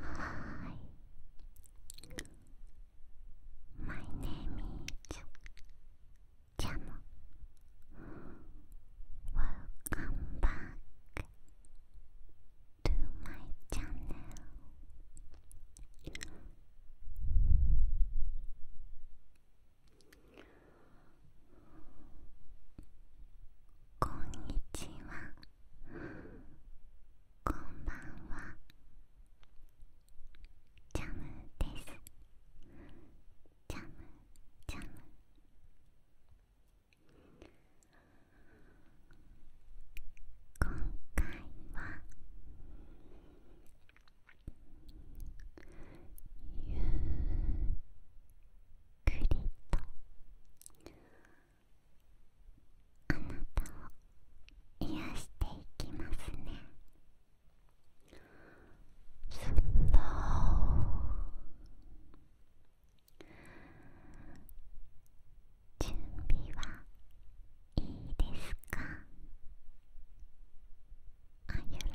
Hi. My name is Jam. Welcome back to my channel. Konnichiwa. こんばんはジャムですジャムジャム今回はゆっくりと。あなたを癒していきますね準備はいいですか ?Are you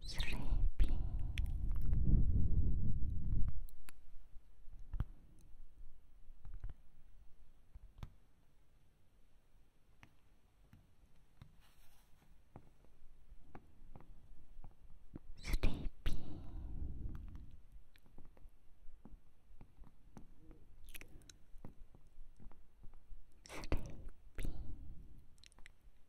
sleeping. Sleepy. Sleepy. Sleepy.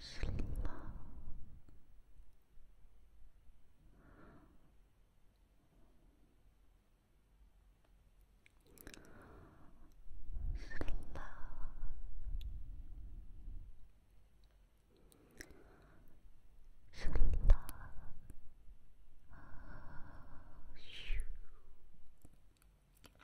slow slow slow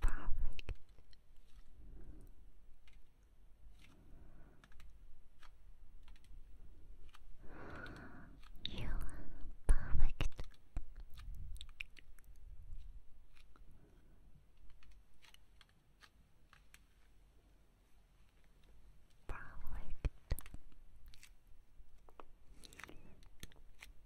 Perfect. You are perfect. Perfect.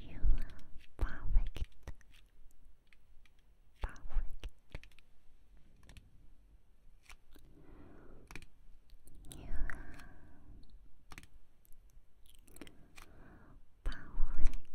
You are perfect. Perfect. You are perfect. Perfect.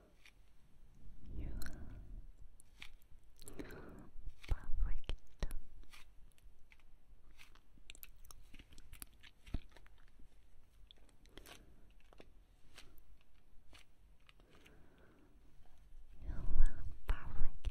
You are perfect. You are perfect. You are perfect.